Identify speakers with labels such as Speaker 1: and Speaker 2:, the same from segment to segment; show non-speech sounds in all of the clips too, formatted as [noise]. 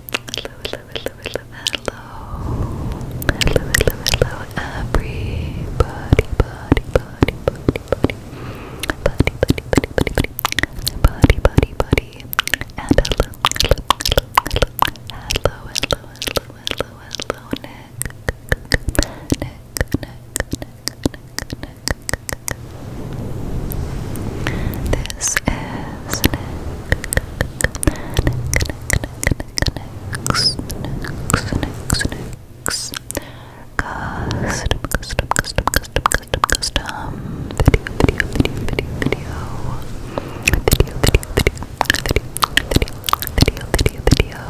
Speaker 1: hello, hello, hello, hello, hello, hello, hello, everybody, body, body, body, body, body, body, body, body, body, body, body, and hello, hello, hello, hello, hello, hello, hello, hello, hello, Nick, Nick, Nick, Nick, Nick, Nick, Nick, this is next, next, next, next, custom, custom, custom, custom, custom, custom, video, video, video, video, video, video, video, video, video, video, video.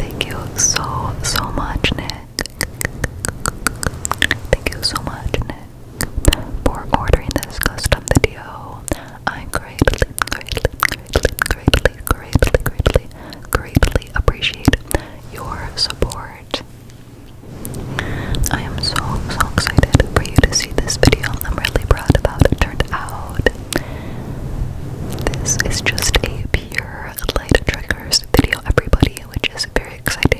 Speaker 1: Thank you so so much, Nick. Thank you so much, Nick, for ordering this custom video. I greatly, greatly, greatly, greatly, greatly, greatly, greatly appreciate your support. I am so, so excited for you to see this video. I'm really proud of how it turned out. This is just a pure light triggers video, everybody, which is very exciting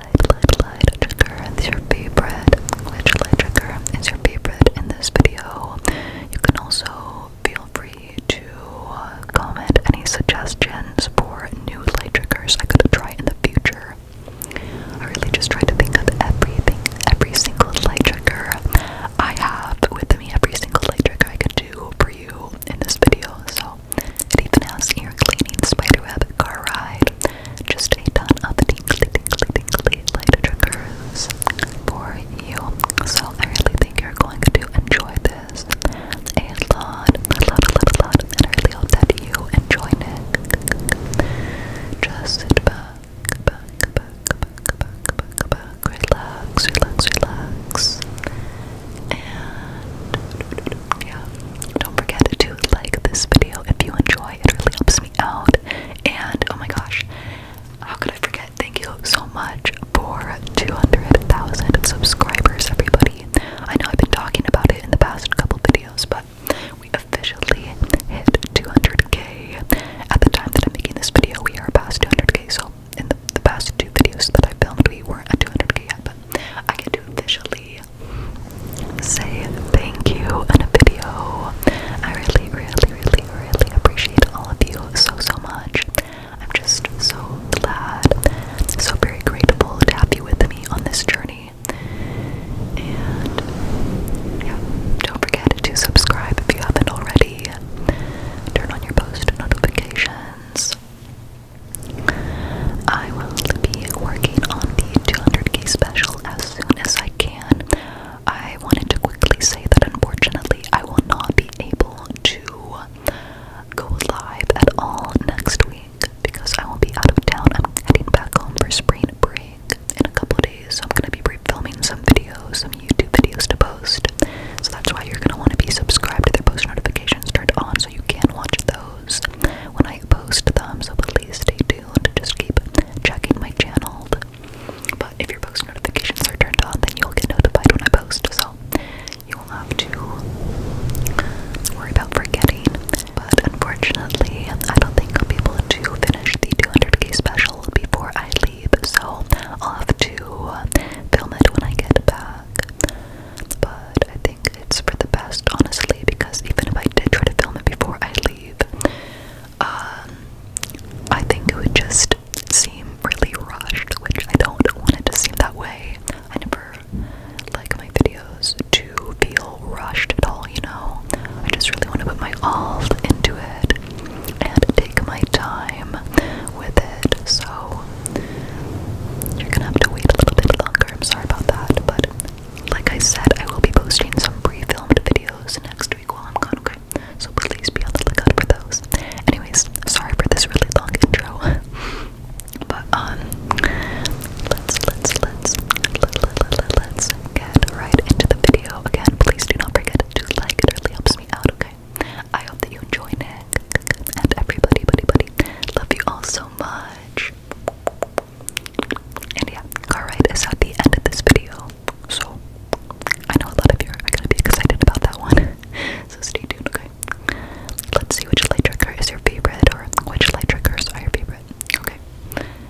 Speaker 1: light, light, light trigger is your favorite. Which light trigger is your favorite in this video? You can also feel free to uh, comment any suggestions for new light triggers I could try in the future. I really just try to think of everything, every single light trigger I have with me, every single light trigger I could do for you in this video. So well. It even has ear cleaning, spiderweb, car ride, just a ton of tingly, tingly, tingly light triggers for you. So I really think you're going to enjoy this a lot, a lot, a lot, a lot, and I really hope that you enjoy it. Just sit back, back, back, back, back, back, back, relax, relax, relax. And yeah, don't forget to like this video if you enjoy. It really helps me out. And oh my gosh, how could I forget? Thank you so much for 200,000 subscribers, everybody. I know I've been talking about it in the past couple videos, but we officially hit 200k. At the time that I'm making this video, we are past 200k. So in the, past two videos that I filmed, we weren't at 200k yet, but I get to officially say thank you in a video. I really, really, really, really appreciate all of you so, so much. I'm just so glad, so very grateful to have you with me on this journey. And yeah, don't forget to subscribe if you haven't already. Turn on your post notifications. I will be working on the 200k special as soon as I can. I wanted to quickly say that unfortunately I will not be able to go live at all next week because I will be out of town. I'm heading back home for spring break in a couple of days. So I'm going to be filming some videos, some YouTube videos to post. So that's why you're going to want to be subscribed to their post notifications turned on you can watch those when I post them. So please stay tuned. Just keep checking my channel. But if your post notifications are turned on, then you'll get notified when I post. So you will have to worry about forgetting. But unfortunately, I don't think I'll be able to finish the 200k special before I leave. So I'll have to film it when I get back but I think it's for the best, honestly, because even if I did try to film it before I leave, um, I think it would just seem really rushed, which I don't want it to seem that way. I never like my videos to feel rushed at all, you know? I just really want to put my all into it and take my time with it, so you're gonna have to wait a little bit longer. I'm sorry about that, but like I said, I will be posting some pre-filmed videos next week while I'm gone, okay? So please be on the lookout for those. Anyways, sorry for this really long intro. [laughs] But um let's let's let's let, let, let, let, us get right into the video. Again, please do not forget to like it really helps me out, okay? I hope that you enjoyed it. And everybody, buddy, buddy. Love you all so much. And yeah, car ride at the end of this video. So I know a lot of you are gonna be excited about that one. [laughs] So stay tuned, okay? Let's see which light trigger is your favorite or which light triggers are your favorite. Okay.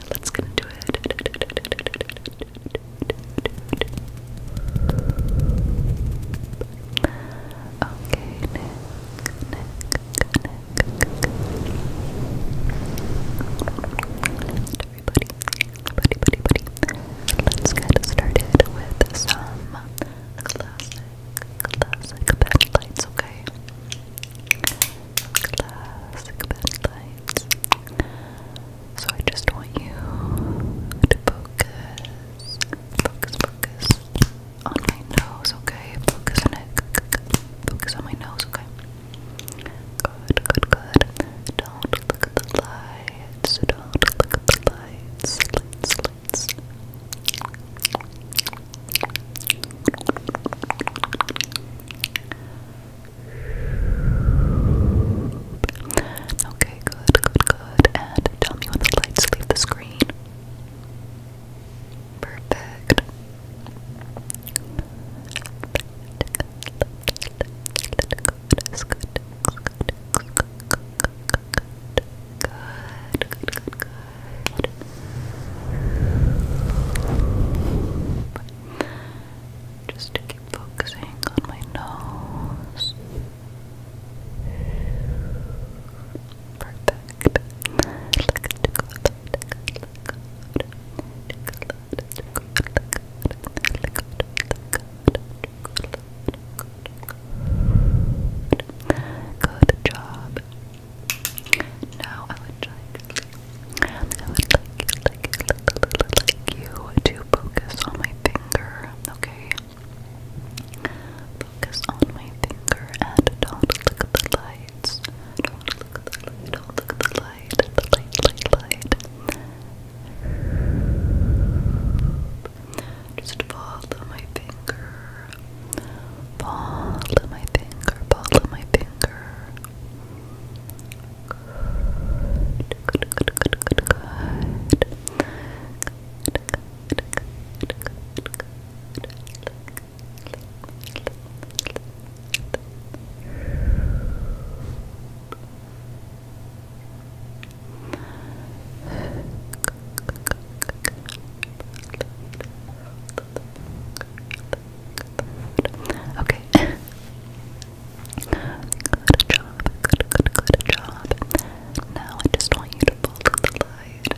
Speaker 1: Let's get into it. Okay, everybody, buddy, buddy, buddy. Let's get started with some classic, classic bed lights, okay? Classic bed lights. So I just want you to focus, focus, focus on my nose, okay? Focus on it. Focus on my nose, okay? Good, good, good. Don't look at the lights. Don't look at the lights. Okay, good, good, good. And tell me when the lights leave the screen. Perfect. Just to keep focusing on my nose. Perfect. Good job. Now I would like, you to focus on my finger, okay? Focus on my finger and don't look at the light. I don't want to look at the light. Don't look at the light. The light, light, light. Just follow my finger. Follow my finger. Follow my finger. Good, good, good, good, good, good. Good, good, good, good, good, good. Okay. [laughs] Good job. Good, good, good job. Now I just want you to follow the light.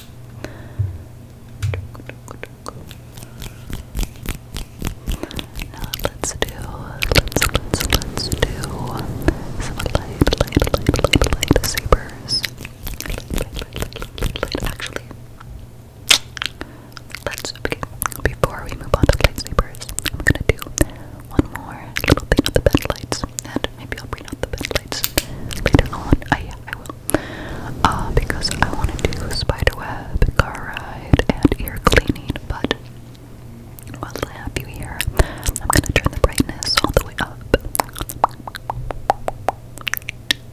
Speaker 1: Now let's do, let's, let's, let's do some light, light, light, light, light actually. Let's, before we move on to lightsabers, I'm gonna do one more little thing with the bed lights, and Maybe I'll bring out the bed lights later on. I, oh, yeah, I will. Uh, because I want to do spiderweb, car ride, and ear cleaning, but while I have you here, I'm gonna turn the brightness all the way up.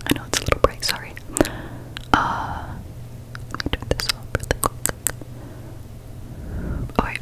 Speaker 1: I know it's a little bright, sorry. Uh, let me turn this off really quick. Alright,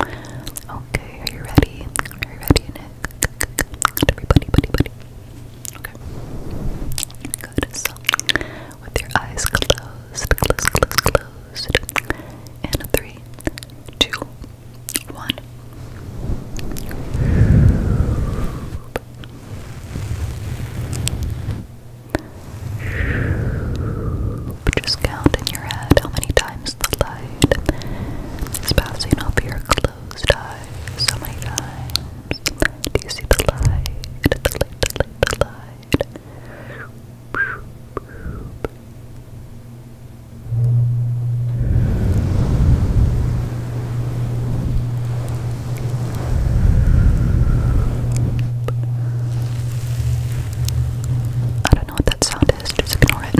Speaker 1: Okay, are you ready? Are you ready, Nick? Everybody, buddy, buddy. Okay. Good. So, with your eyes closed, closed, closed, closed. And three, two, one. Just count in your head how many times the light is passing over your closed eyes. How many times do you see the light? The light, the light, I don't know what that sound is, just ignore it.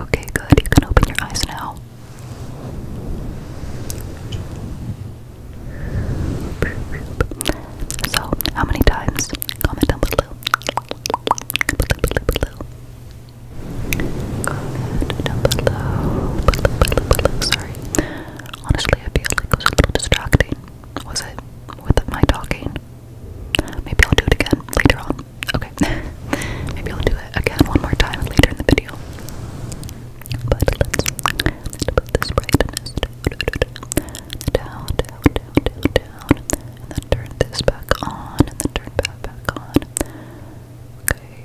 Speaker 1: okay, good. You can open your eyes now. So, how many times? Comment down below. down below. Sorry. Honestly, I feel like it was a little distracting. Was it? With my talking? Maybe I'll do it again later on. Okay. [laughs] Maybe I'll do it again one more time later in the video. But let this brightness down, down, down, down, and then turn this back on, and then turn that back on. Okay,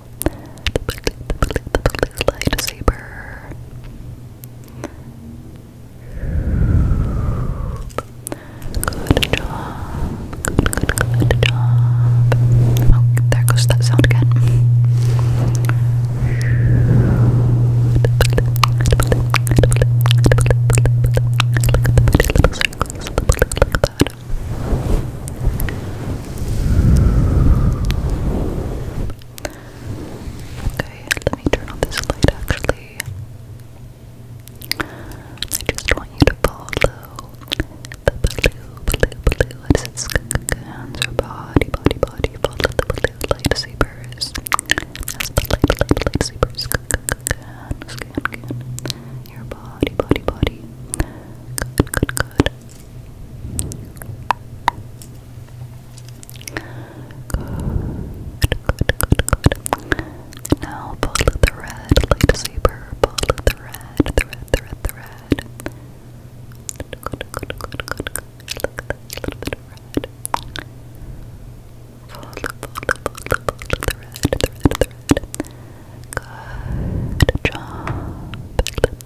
Speaker 1: the lightsaber. Good job. Good, good, good job. Oh, there goes that sound again. Look at the pretty little circles. Look at that. Okay, let me turn off this light actually. I just want you to follow the blue, blue, blue. What is it? Skunk or body, body, body. Follow the blue lightsabers. That's the light, light, lightsabers. Skunk, scan, scan. Your body, body, body. Good, good, good good. Now follow the red lightsaber. Follow the red, the red, the red, the red. Good, good, good, good, good. Look at little bit of red. Follow, follow, follow, follow the red, the red, the red. Good job.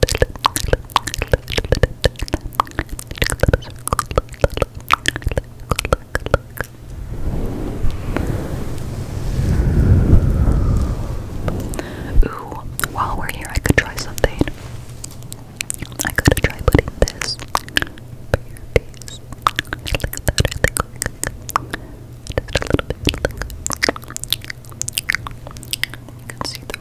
Speaker 1: Ooh, while we're here, I could try something. I could try putting this for your face. a little bit. Like. You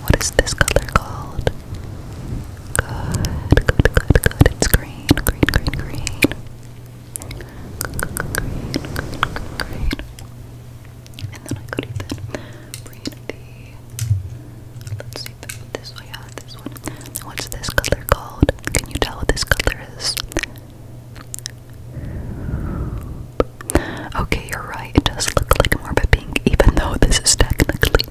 Speaker 1: what is this color called? Good, good, good, good. It's green, green, green, green. Good, good, good, green, good, green. And then I could even bring the. Let's see this one. Yeah, uh, this one. What's this color called? Can you tell what this color is? Okay, you're right. It does look like morbid pink, even though this is technically,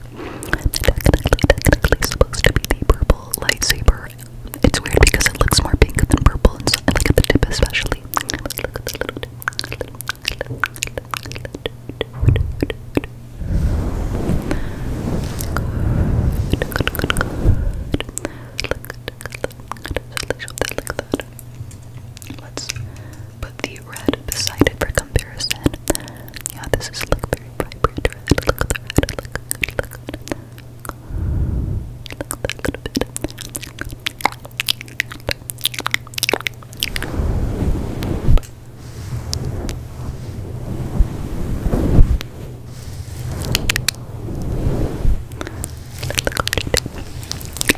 Speaker 1: technically, technically supposed to be the purple lightsaber. It's weird because it looks more pink than purple, and, so, and look at the tip especially. Let's Put the red beside it for comparison. Yeah, this is like very vibrant red. Look at the red. Look, look, look at little bit.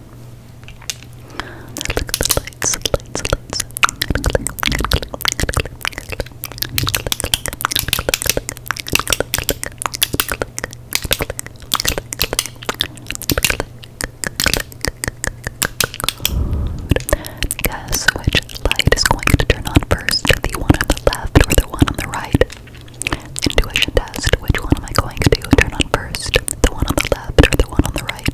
Speaker 1: Look at the lights, Guess which light is going to turn on first? The one on the left or the one on the right? Intuition test. Which one am I going to turn on first? The one on the left or the one on the right?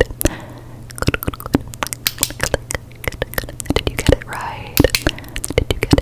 Speaker 1: Did you get it right? Did you get it?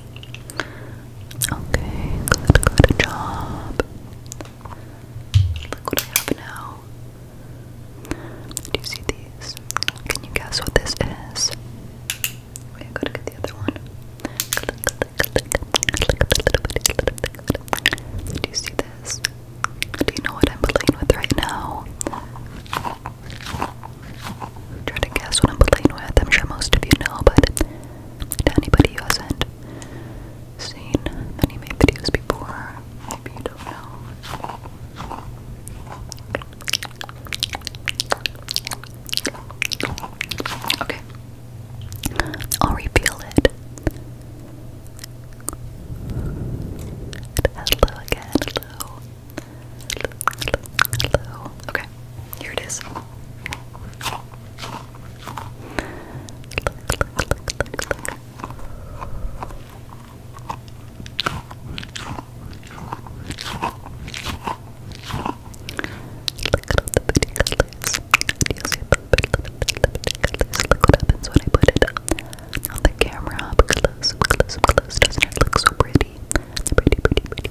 Speaker 1: Okay, good, good job. Look what I have now. Do you see these? Can you guess what this is? Wait, I gotta get the other one. Do you see this? Do you know what I'm playing with right now? Try to guess what I'm playing with. I'm sure most of you know, but to anybody who hasn't seen any of videos before, maybe you don't know. Okay. I'll reveal it. hello again, Okay, here it is. Look at all the pretty colors. Do you see the colors? Look what happens when I put it on the camera up close, up Doesn't it look so pretty? Pretty, pretty, pretty,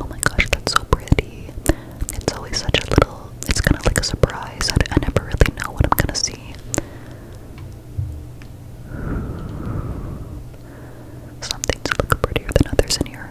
Speaker 1: Oh my gosh, that's so pretty. It's always such a little, it's kind of like a surprise. I, never really know what I'm gonna see. Some things prettier than others in here.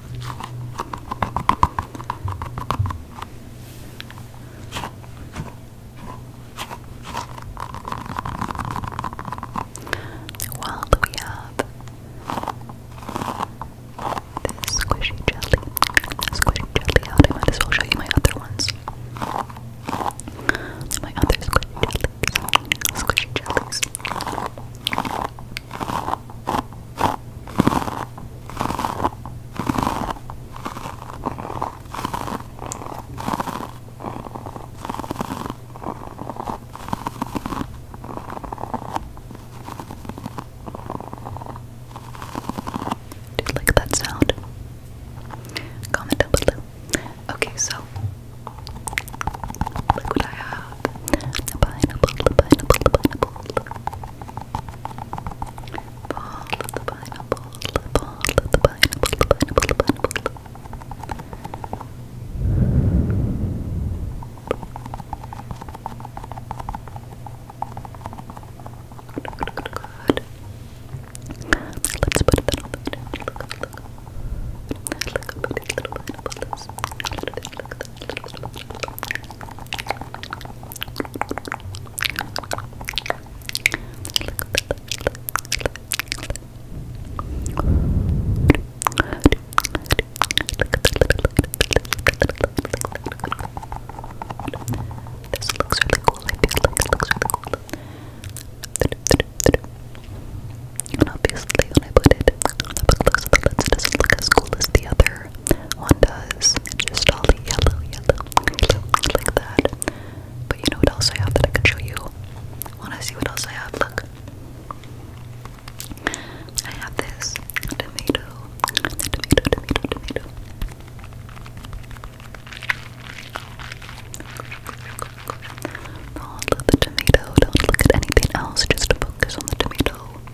Speaker 1: Well, we have this squishy jelly, squishy jelly I might as well show you my other ones. My other squishy jellies, squishy jellies. Do you like that sound? Comment down below. Okay, so Look what I have. The pineapple, the pineapple, the pineapple. Ball of the pineapple, the ball of the pineapple, the pineapple, the pineapple. Good, good, good. Let's put it on the Look, look, look. Look, look, look. Look, look, look. Look, look, look. This looks really cool. I think this looks really cool. And obviously, when I put it the lens, it doesn't look as cool as the other one does. just all yellow, yellow, yellow, like that. But you know what else I have that I can show you? Wanna see what else I have? Look. I have this tomato, tomato, tomato, tomato. Don't look at the tomato, don't look at anything else, just focus on the tomato.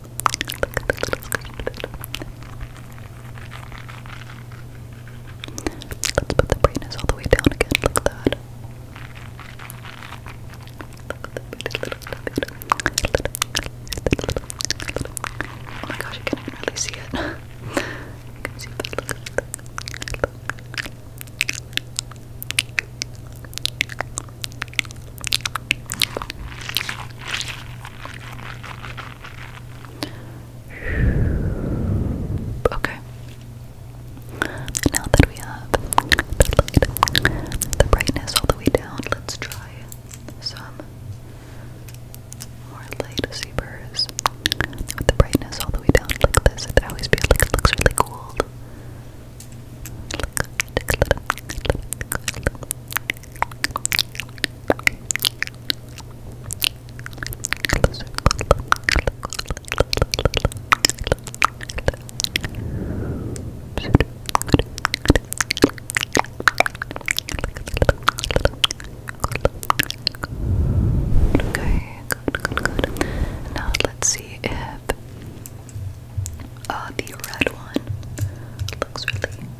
Speaker 1: Let's put the brain is all the way down again. Look at that. Oh my gosh, you can't even really see it. you [laughs] can see that. Look. Look. Okay. Now that we have the brightness all the way down, let's try some more light zebras with the brightness all the way down like this. It always feels like it looks really cool. Okay, Now let's see if uh, the red one looks really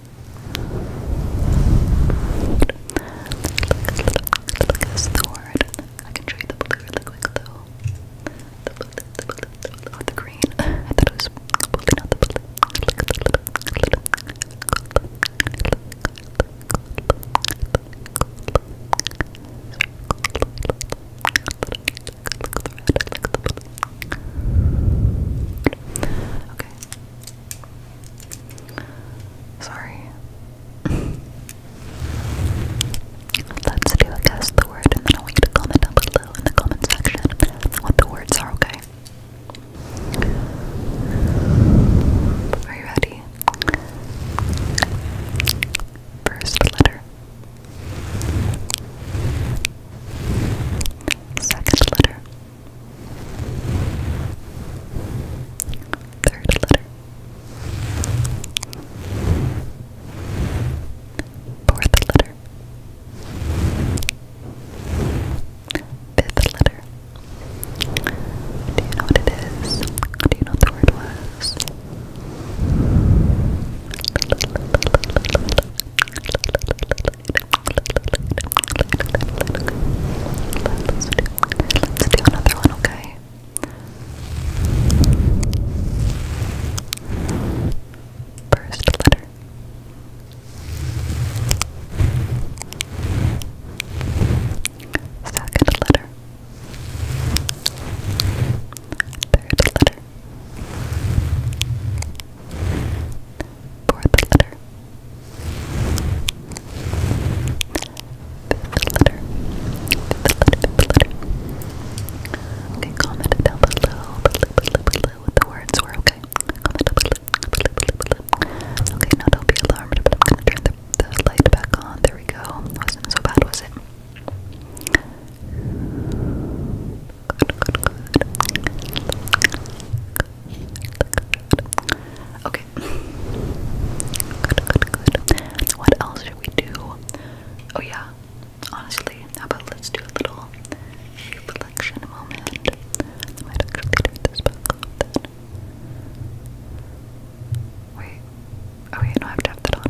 Speaker 1: Look at this sword. I can show you the blue really quick though. The blue, the blue, the blue, oh, the green. I thought it was blue, not the blue. Okay. Sorry. [laughs] Let's do a guess the word and then I want you to comment down below in the comment section what the words are, okay? Are you ready? First letter. Second letter. Third letter. Fourth letter. Fifth letter. Do you know what it is? Do you know what the word was? Let's do another one, okay? First letter. Second letter. Third letter. Fourth letter. Okay, comment down below, what the words were, okay? Okay, now do be alarmed, but turn the light back on. There we go. Wasn't so bad, was it? Good, good, good. Okay, Good, good, good. What else should we do? Oh yeah. Honestly, how about let's do a little reflection moment. I might actually turn this back then. Wait. Oh no, I have to have that on.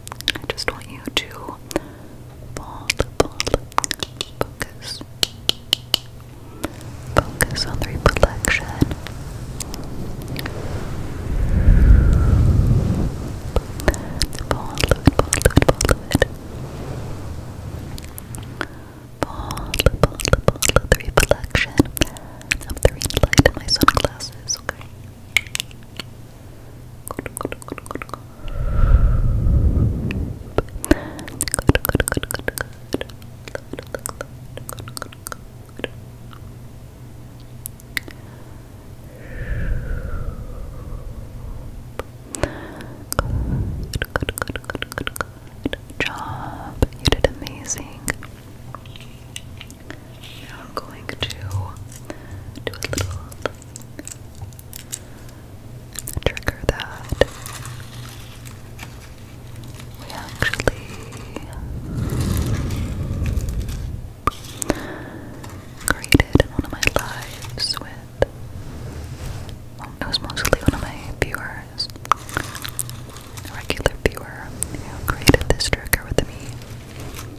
Speaker 1: I just want you to bold, bold, focus. Focus on the reflection. Bold, bold, bold, bold. Bold, bold, bold, the reflection of the ring light in my sunglasses, okay? Good job. You did amazing. Now I'm going to do a little trigger that we actually created one of my lives with, well, it was mostly one of my viewers, a regular viewer who created this trigger with me.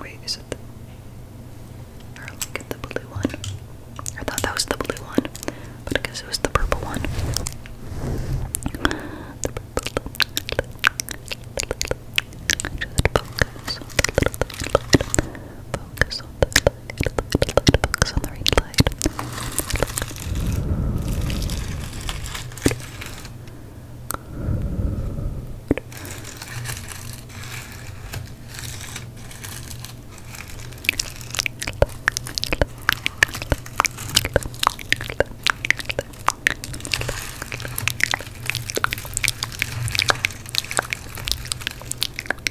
Speaker 1: Wait, is it the or look at the blue one? I thought that was the blue one, but I guess it was the purple one. focus on the It'll, it'll, it'll focus on the right side. Look,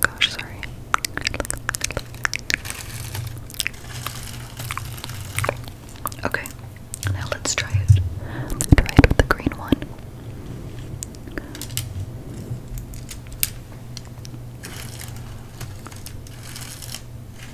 Speaker 1: Gosh, sorry. Okay, now let's try it. Try it with the green one.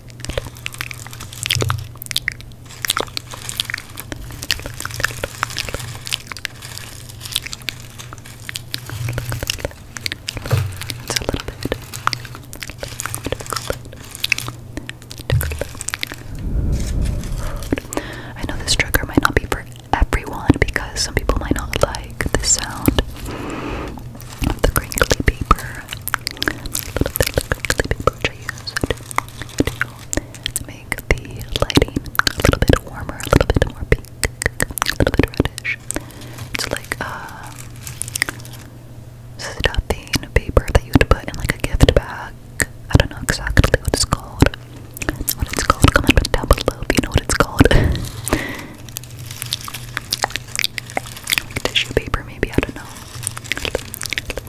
Speaker 1: It's a little bit. I know this trigger might not be for everyone because some people might not like the sound of the crinkly paper. The crinkly paper which I use to make the lighting a little bit warmer, a little bit more pink, a little bit reddish. It's like uh, stuffing paper that you would put in like a gift bag. I don't know exactly what it's called. What it's called? Comment down below if you know what it's called. [laughs] tissue paper, maybe I don't know.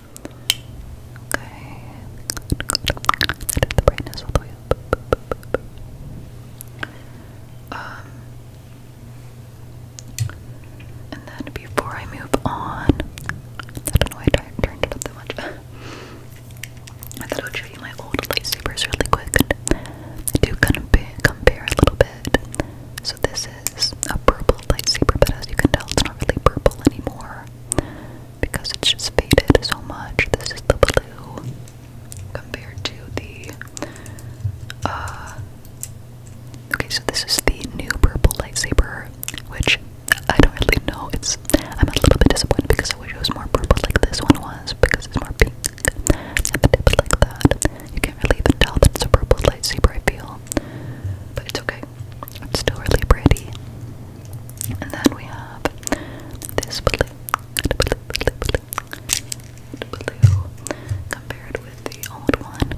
Speaker 1: Okay. and then before I move on, [laughs] I thought I would show you my old lightsabers really quick. to do compare, compare a little bit. So this is a purple lightsaber, but as you can tell, it's not really purple anymore because it's just faded so much. This is the blue compared to the uh, okay so this is the new purple lightsaber which I don't really know it's I'm a little bit disappointed because I wish it was more purple like this one was because it's more pink and the a dip like that you can't really even tell that it's a purple lightsaber I feel but it's okay it's still really pretty. And then we have this blue. compared with the old one.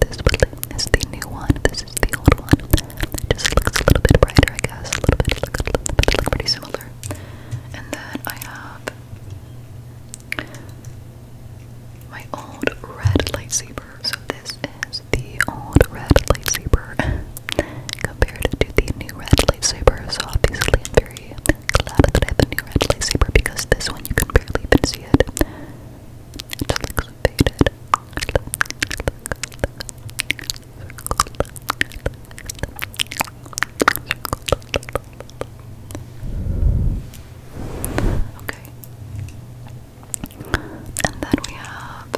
Speaker 1: This blue is the new one. This is the old one. It just looks a little bit brighter, I guess. A little bit look, look, look, look pretty similar. And then I have my old red lightsaber. So this is the old red lightsaber [laughs] compared to the new red lightsaber. So obviously I'm very glad that I have the new red lightsaber because this one you can barely even see it. It looks faded. Okay. And then we have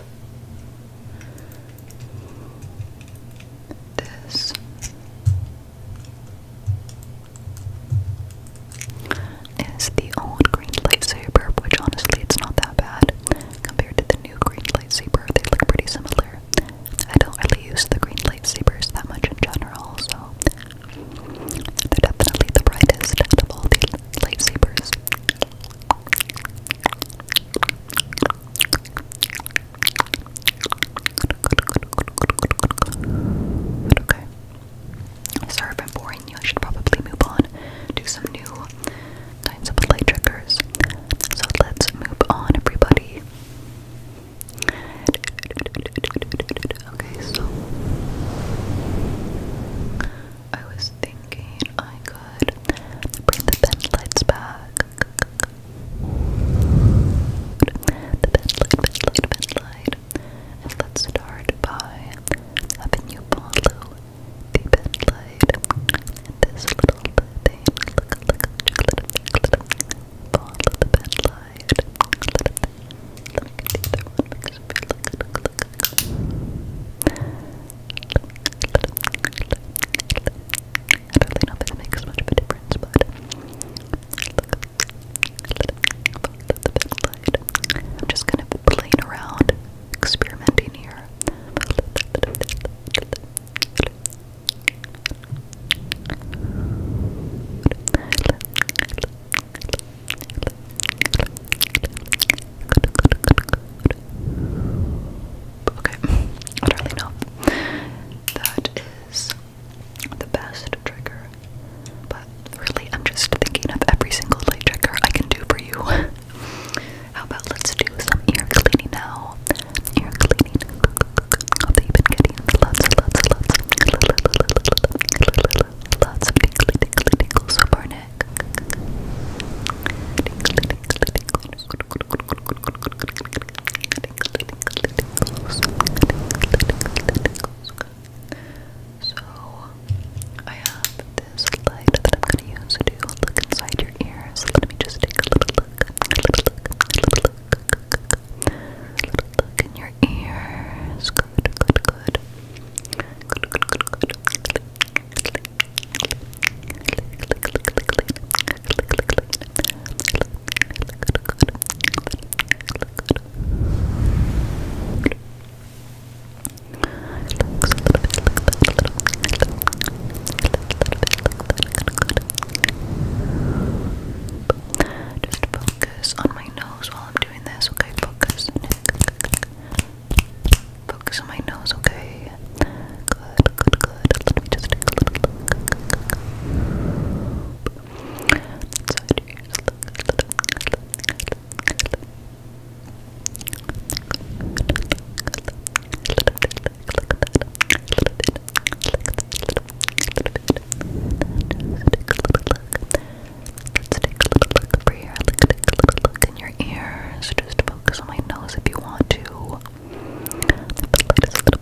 Speaker 1: this. Is the old green lightsaber, which honestly it's not that bad compared to the new green lightsaber. They look pretty similar. I don't really use the green lightsabers that much in general, so they're definitely the brightest out of all the lightsabers. Okay. Sorry if I'm boring you. I should probably move on to some new kinds of light triggers. So let's move on, everybody. Okay, so I was thinking I could bring the bed lights back. The bed light, bed light, bed light. let's start by having you follow the bed light this little thing. Look, look, look, Follow the bed light. Let me get the other one because I feel like look, look, I don't really know if it makes much of a difference, but I'm just kind of playing around, experimenting here. Okay, I don't That is the best trigger, but really, I'm just thinking of every single light trigger I can do for you. How about let's do some ear cleaning now? Ear cleaning. So I have this light that I'm going to use to look inside your ears. Let me just take a little look. Little look in your ears. Good, good, good. Good, good, good, good. Just focus on my nose while I'm doing this, okay? Focus. Focus on my nose, okay? Good, good, good. Let me just take a little look. Inside your ears. Let's take a little look over here. Look, take a little look in ears. Just focus on my nose if you want to. The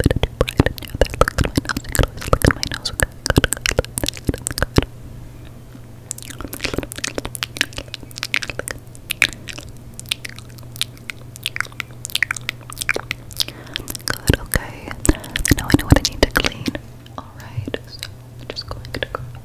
Speaker 1: Okay, good, good, I know what I need to clean. Alright, just going to grab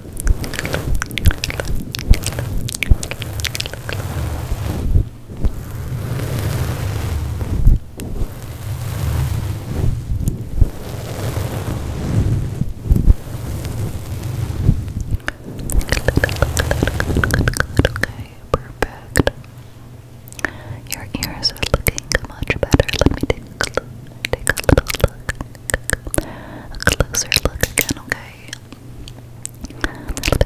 Speaker 1: Okay, perfect. Your ears are looking much better. Let me take Take a little look a closer look again, okay? Let me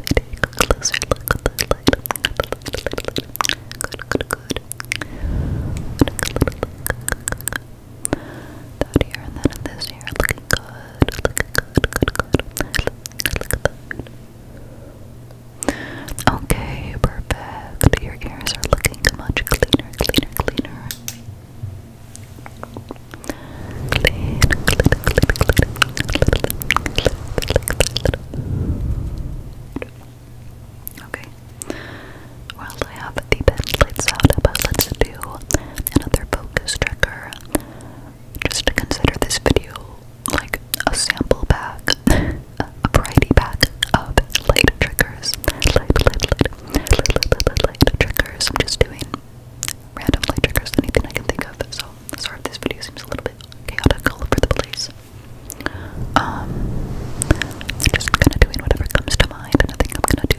Speaker 1: take a closer look at the light. Good, good, good. That here and then in this here, looking good, looking good, good, good. Look at that. Okay, perfect. Your ears are looking much cleaner, cleaner, cleaner. Okay. Well, I have the bed lights out, but let's do another focus trigger. Just to consider this video like a sample pack, a variety pack of light triggers. light, light, light, light, light, light, light triggers. I'm just doing randomly triggers anything I can think of. So sorry this video seems a little bit chaotic all over the place. Um, just kind of doing whatever comes to mind, and I I'm gonna do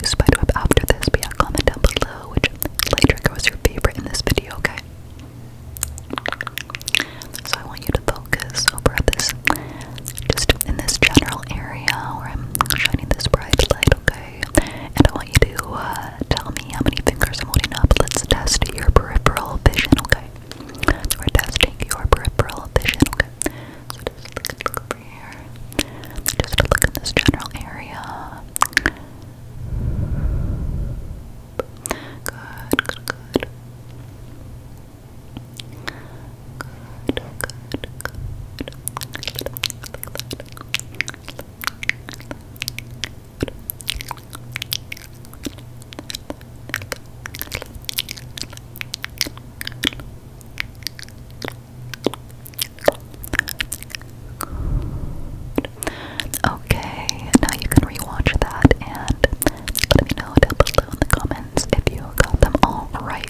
Speaker 1: after this. But yeah, comment down below which light trigger was your favorite in this video, okay? So I want you to focus over this, just in this general area where I'm shining this bright light, okay? And I want you to tell me how many fingers I'm holding up. Let's test your peripheral vision, okay? We're testing your peripheral vision, okay? So just look, look over here. Just look in this general area. Good, good, good. Good, good, good. Okay, now you can rewatch that and let me know down below in the comments if you got them all right.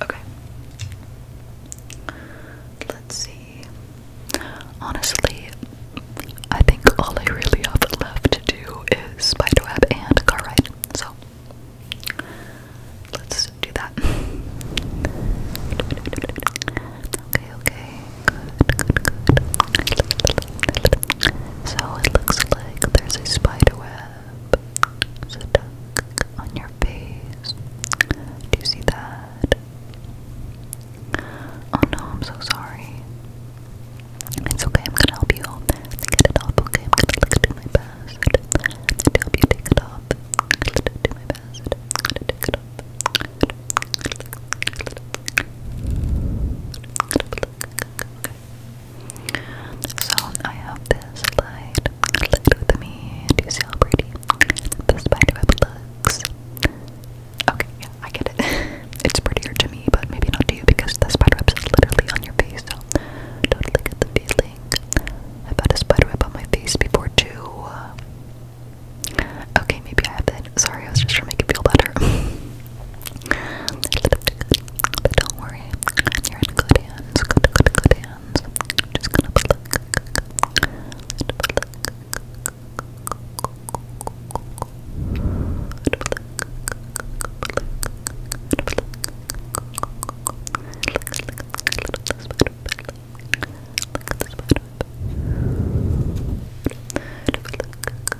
Speaker 1: Okay. Let's see. Honestly, I think all I really have left to do is spiderweb and car ride. So let's do that. Okay, okay, So it looks like there's a spider stuck on your face. Do you see that? Oh no, I'm so sorry. It's okay, I'm gonna help you get it off, okay? I'm gonna do my best to help you take it off. I'm gonna do my best to take it off. So I have this light, with me. Do see how pretty the spiderweb looks? Okay, yeah, I get it. [laughs] it's prettier to me, but maybe not to you because the spiderweb's literally on your face. So totally get the feeling. I've had a spiderweb on my face before too. Okay, maybe I have that. Sorry, I was just trying to make it feel better. [laughs] But don't worry, you're in good hands. Good, good, good hands. just gonna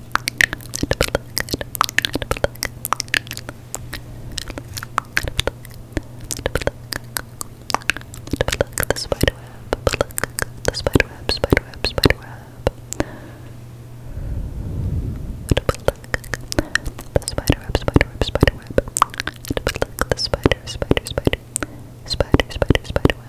Speaker 1: the spider web, the spider web, spider web, spider web. The spider web, spider web, spider web. The spider, spider, spider, spider, spider, spider web.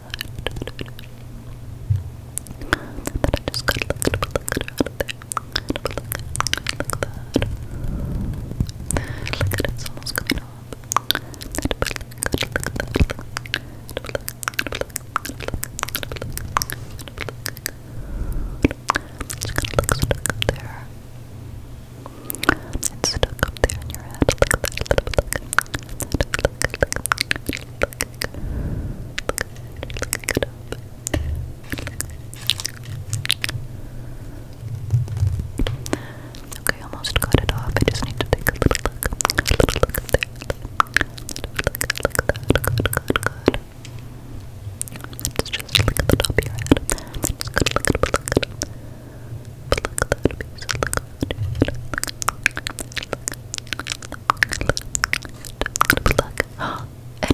Speaker 1: that I just got look at look at out of there. Look, look that. Look at it, it's almost coming off. It's gonna look stuck up there. It's stuck up there in your head. Look, look, look, look, look, look, look, look, Look it Okay, almost got it off. I just need to take a little look. A little look at that. Look, look, look, look, good, good. Let's just look at the top of your head. Just good, look at, look at, look at that piece. Look at, look, look, Plug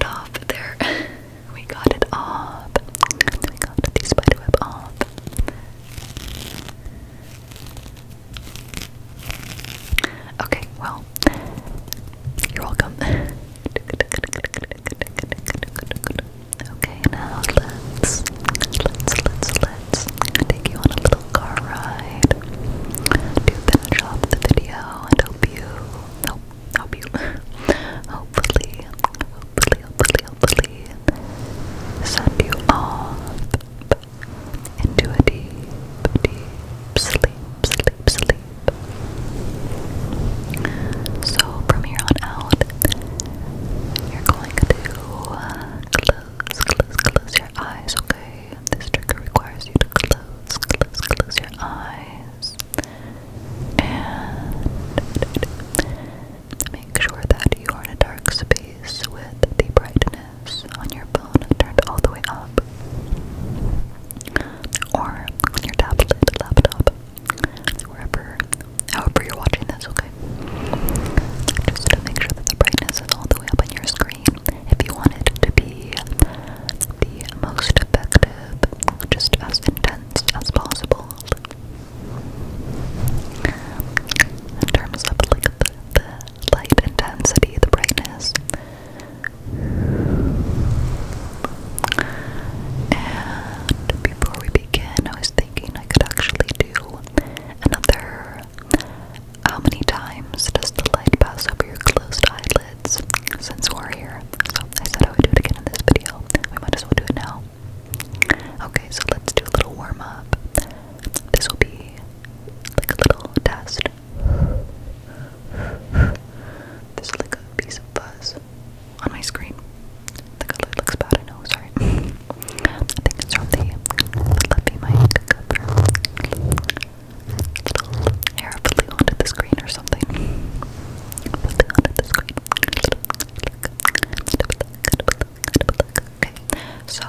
Speaker 1: off there. [laughs] we got it off. We got the spiderweb off. Okay, well, you're welcome. Okay, now let's let's let's let's take you on the car ride to finish off the video and hope you hope, hope you [laughs] hopefully hopefully hopefully hopefully send you off into a deep deep sleep sleep sleep so from here on out you're going to close close close your eyes okay this trigger requires you to close, close, close your eyes and make sure that you are in a dark space with the brightness on your phone turned all the way up or on your tablet, laptop, wherever, however you're watching this, okay? Just to make sure that the brightness is all the way up on your screen if you want it to be the most effective, just as intense as possible. In terms of like the light intensity, the brightness. And before we begin, I was thinking I could actually do another how many times does the light pass over your closed eyelids since we're here? So I said I would do it again in this video. We might as well do it now. Okay, so let's do a little warm up. This will be like a little test. There's like a piece of fuzz on my screen. The color looks bad, I know, sorry. [laughs] I think it's from the fluffy mic Hair onto the screen or something. Okay, so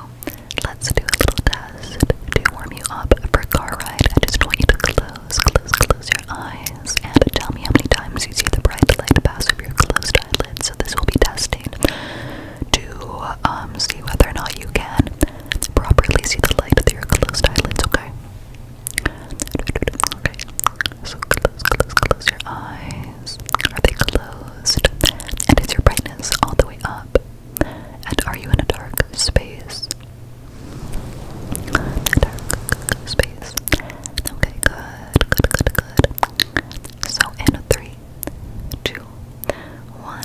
Speaker 1: let's do a little test to warm you up for a car ride. I just want you to close, close, close your eyes and tell me how many times you see the bright light pass over your closed eyelids. So this will be testing to um, see whether or not you can properly see the light through your closed eyelids, okay? Okay. So close, close, close your eyes. Are they closed? And is your brightness all the way up? And are you in a dark space? dark space. Okay, good, good, good, good. So in three, two, one.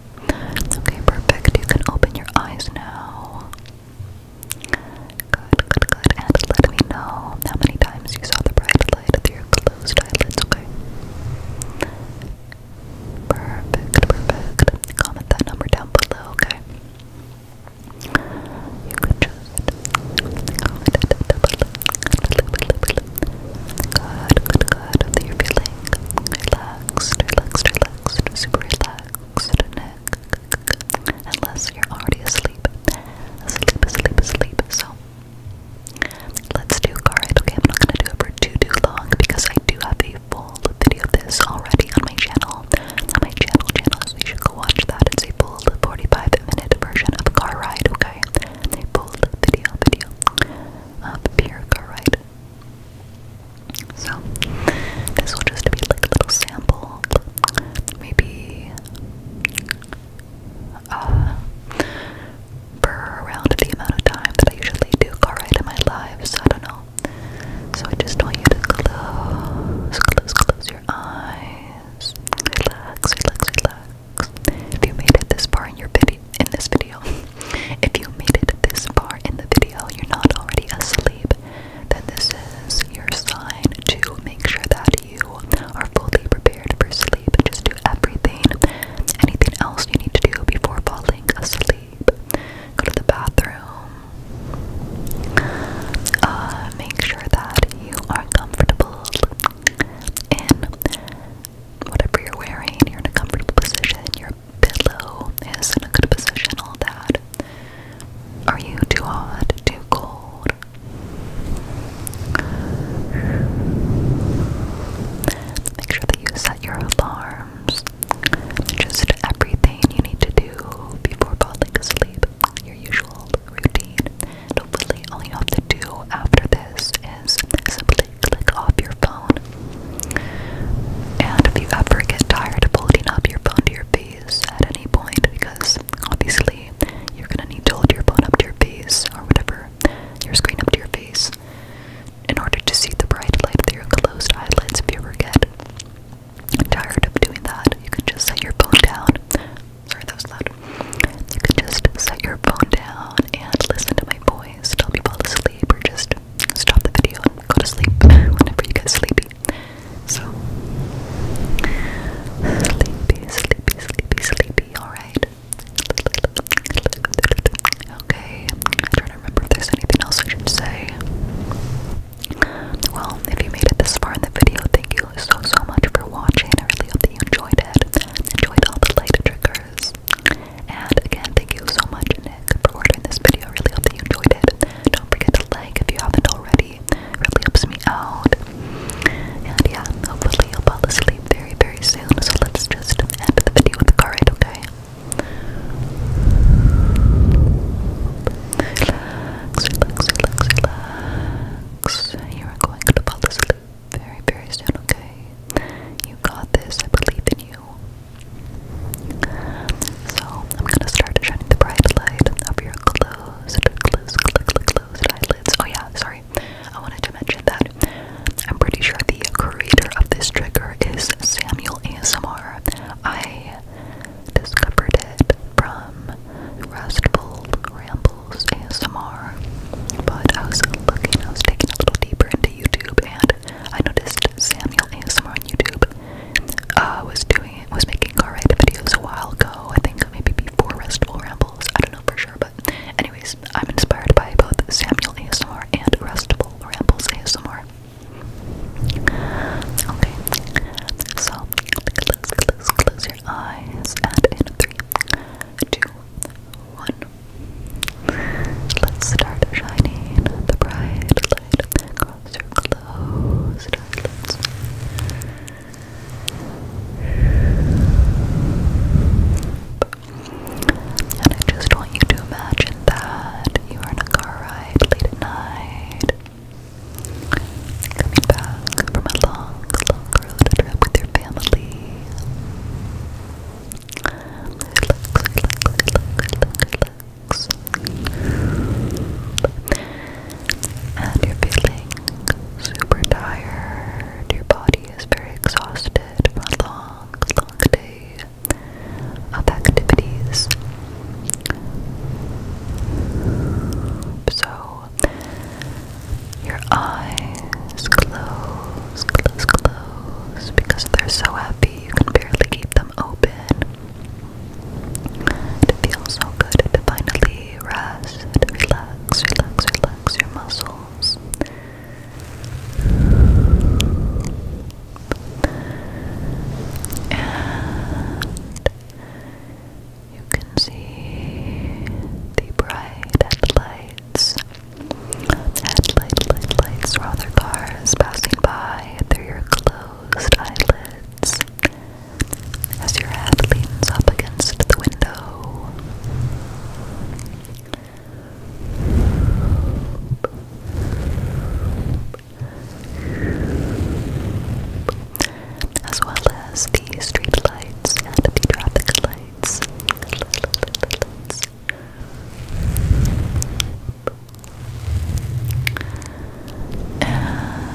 Speaker 1: Okay, perfect. You can open your eyes now. Good, good, good. And let me know how many times you saw the bright light through your closed eyelids, okay? Perfect, perfect. Comment that number down below, okay? You could just Good, good, good. That you feeling relaxed, relaxed, relaxed relaxed, super relaxed neck. Unless you're already asleep. Asleep, asleep, asleep. So let's do card. Okay, I'm not gonna do it for too too long because I do have a full video of this already on my channel. On my channel channel, so you should go watch that. It's a full 45 minute version of car ride, okay? A full video video of pure car ride. So this will just be like a little sample. Maybe uh for around the amount of time that I usually do karate in my lives. I don't know. So I just want you to close, close, close your eyes. Relax, relax, relax. If you made it this far in your video in this video, [laughs] If you made it this far in the video, you're not already asleep, then this is your sign to make sure that you are fully prepared for sleep. Just do everything, anything else you need to do before falling asleep. Go to the bathroom. Uh, make sure that you are comfortable in whatever you're wearing. You're in a comfortable position. You're pillow is in a good position, all that. Are you too hot, too cold? Make sure that you set your alarms. Just everything you need to do before falling asleep, your usual routine. hopefully, all you have to do after this is simply click off your phone and if you ever get tired of holding up your phone to your face at any point, because obviously you're gonna need to hold your phone up to your face or whatever, your screen up to your face, in order to see the bright light through your closed eyelids, if you ever get tired of doing that, you can just set your phone down. Sorry, that was loud. You can just set your phone down and listen to my voice, tell me fall asleep, or just stop the video and go to sleep whenever you get sleepy. So, sleepy, sleepy, sleepy, sleepy, alright? Okay, I'm trying to remember if there's anything else I should say. Well, if you made it this far in the video, thank you so, so much for watching. I really hope that you enjoyed it. Enjoyed all the light triggers. And again, thank you so much, Nick. Nick for ordering this video. Really hope that you enjoyed it. Don't forget to like if you haven't already. It really helps me out. And yeah, hopefully you'll fall asleep very, very soon. So let's just end the video with a card, okay? relax, relax, relax. You are going to fall asleep very, very soon, okay? You got this. I believe in you. So I'm gonna start shining the bright light of your closed, closed, closed, closed eyelids. Oh yeah, sorry. I wanted to mention that I'm pretty sure the creator of this trigger is Samuel ASMR. I discovered it from Restful Rambles ASMR, but I was looking, I was taking a little deeper into YouTube and I noticed Samuel ASMR on YouTube uh, was doing was making car ride videos a while ago. I think maybe before Restful Rambles. I don't know for sure, but anyways, I'm inspired by both Samuel ASMR and Restful Rambles ASMR. Okay, so close your eyes, and in three, two, one. Let's start shining the bright light across And I just want you to imagine that you are in a car ride late at night, coming back from a long, long road trip with your family relax. And you're feeling super tired. Your body is very exhausted from a long, long day of activities. So, your eyes close, close, close because they're so heavy you can barely keep them open. It feels so good to finally rest, relax, relax, relax your muscles. And you can see the bright headlights, headlight light lights from other cars passing by through your clothes closed eyelids as your head leans up against the window. As well as the street lights and the traffic lights. And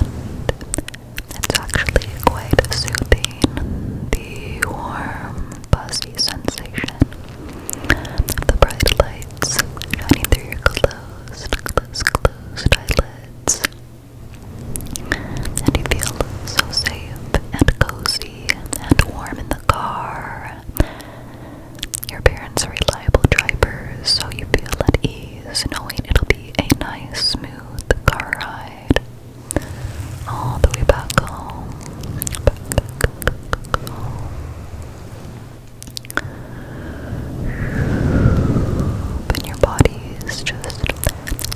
Speaker 1: it's actually quite soothing, the warm, fuzzy sensation the bright lights shining through your closed, closed, closed eyelids. And you feel so safe and cozy and warm in the car. Your parents are reliable drivers, so you feel at ease knowing it'll be a nice, smooth car ride all the way back home. And your body is just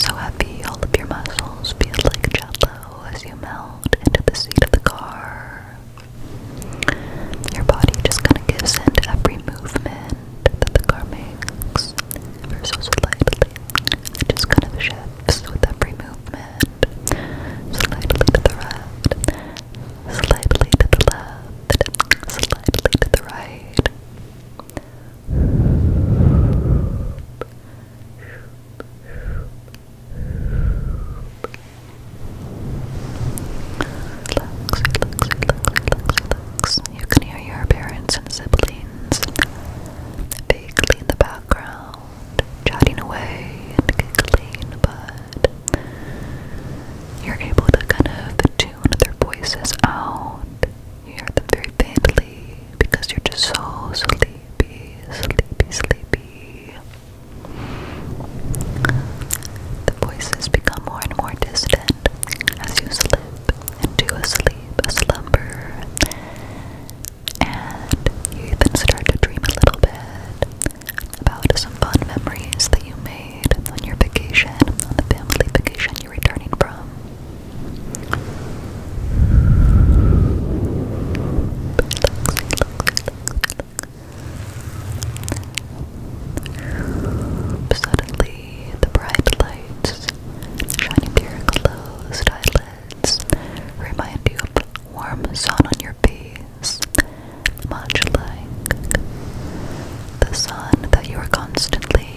Speaker 1: so happy; all of your muscles feel like jello as you melt into the seat of the car. Your body just kind of gives in to every movement that the car makes, ever so slightly. just kind of shifts with every movement, slightly to the right, slightly to the left, slightly to the right. You can hear your parents and siblings vaguely in the background, chatting away and giggling, but you're able to kind of tune their voices out. You hear them very faintly because you're just so sleepy, sleepy, sleepy. The voices become more and more distant as you slip into a sleep, a slumber, and you even start to dream a little bit about some fun memories that you made on your vacation, on the family vacation you're returning from. Suddenly, the bright lights shining through your closed eyelids remind you of the warm sun on your face, much like the sun that you are constantly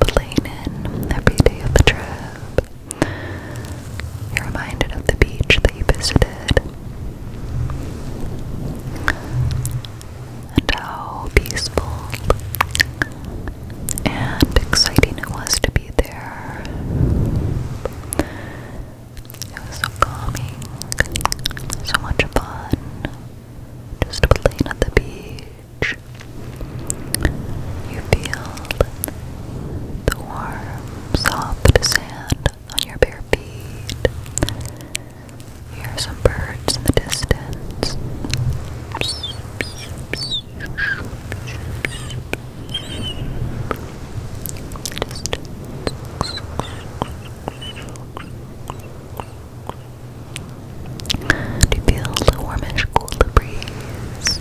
Speaker 1: playing in every day of the trip. You're reminded of the beach that you visited and how peaceful and exciting it was to be there. It was so calming, so much fun, just playing at the beach. You feel the warm, soft sand on your bare feet. Hear some birds in the distance. Do you feel the warmish, cool breeze?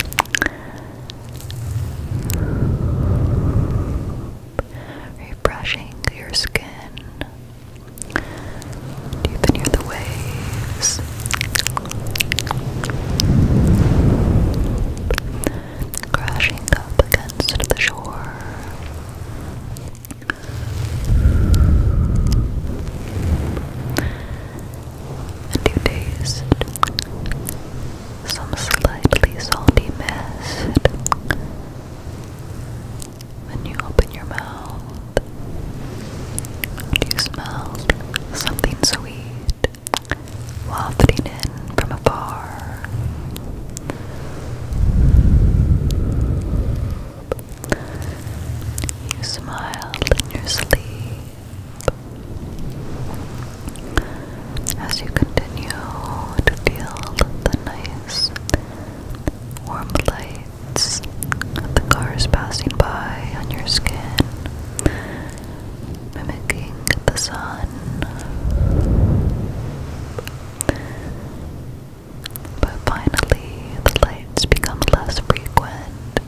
Speaker 1: Refreshing your skin. Do you hear the waves? Crashing up against the shore. And you taste some slightly salty mist. When you open your mouth, you smell something sweet wafting in from afar. You smiled in your sleep. As you continue to feel the nice warm lights of the cars passing by on your skin, mimicking the sun. But finally, the lights become less frequent,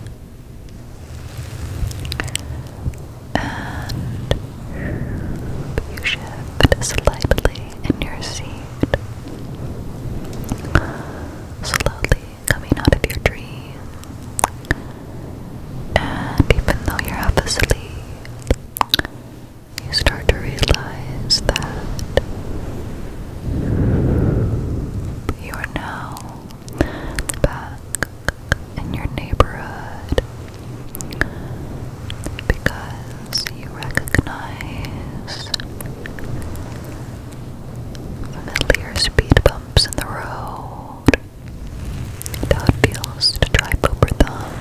Speaker 1: and you shift slightly in your seat. Slowly coming out of your dream. And even though you're half asleep, you start to realize that you are now back in your neighborhood because you recognize familiar speed bumps in the road and it feels to drive over them.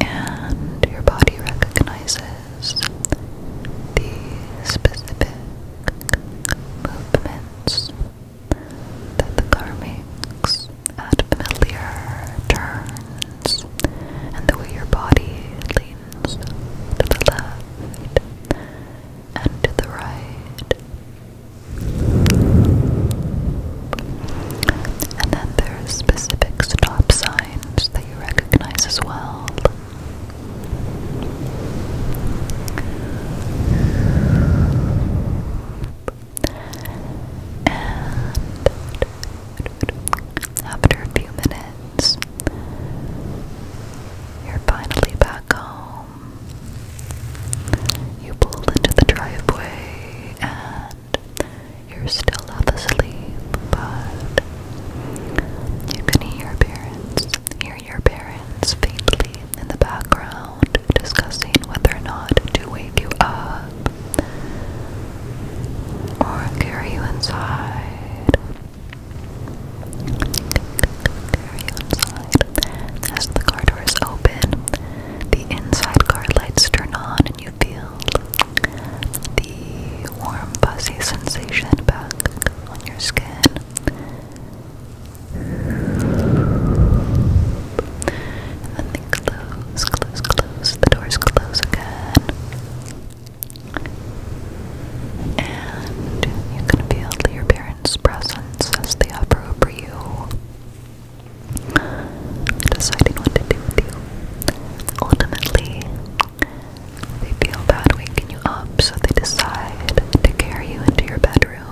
Speaker 1: And your body recognizes the specific movements that the car makes at familiar turns and the way your body leans to the left and to the right. And then there's specific stop signs that you recognize as well. And after a few minutes, you're finally back home. You pull into the driveway and you're still half asleep, but you can hear your parents, hear your parents faintly in the background discussing whether or not to wake you up or carry you inside. Carry you inside. As the car doors open, the inside car lights turn on and you feel the warm, fuzzy sensation back on your skin. And then close, close, close close, the doors close again. And you can feel your parents' presence as they hover deciding what to do with you. Ultimately, they feel bad waking you up, so they decide to carry you into your bedroom,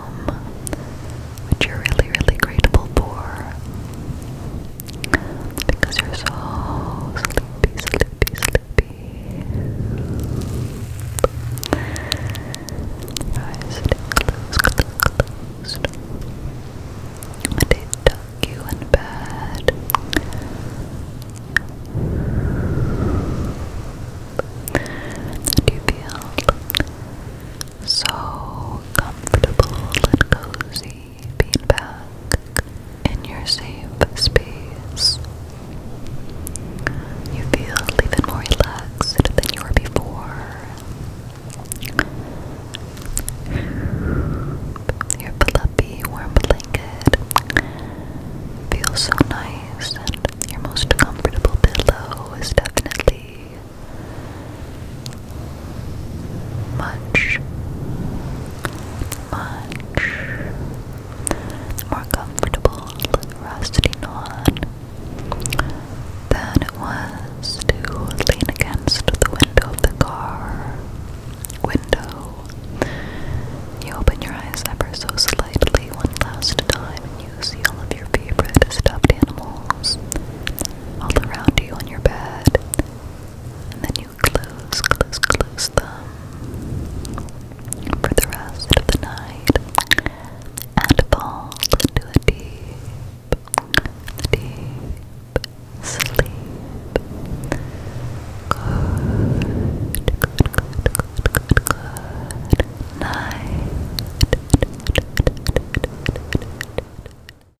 Speaker 1: which you're really, really grateful for because you're so sleepy, sleepy, sleepy. eyes closed, closed, closed. They you in bed. And you feel so comfortable and cozy back in your safe space. You feel even more relaxed than you were before. Your fluffy, warm blanket feels so nice, and your most comfortable pillow is definitely much, much more comfortable rusty on than it was to lean against the window of the car. Window. You open your eyes ever so slightly one last time, and you see all of your favorite stuffed animals all around you on your bed and then you close, close, close them for the rest of the night and fall into a deep, deep sleep. Good, good, good, good, good, night.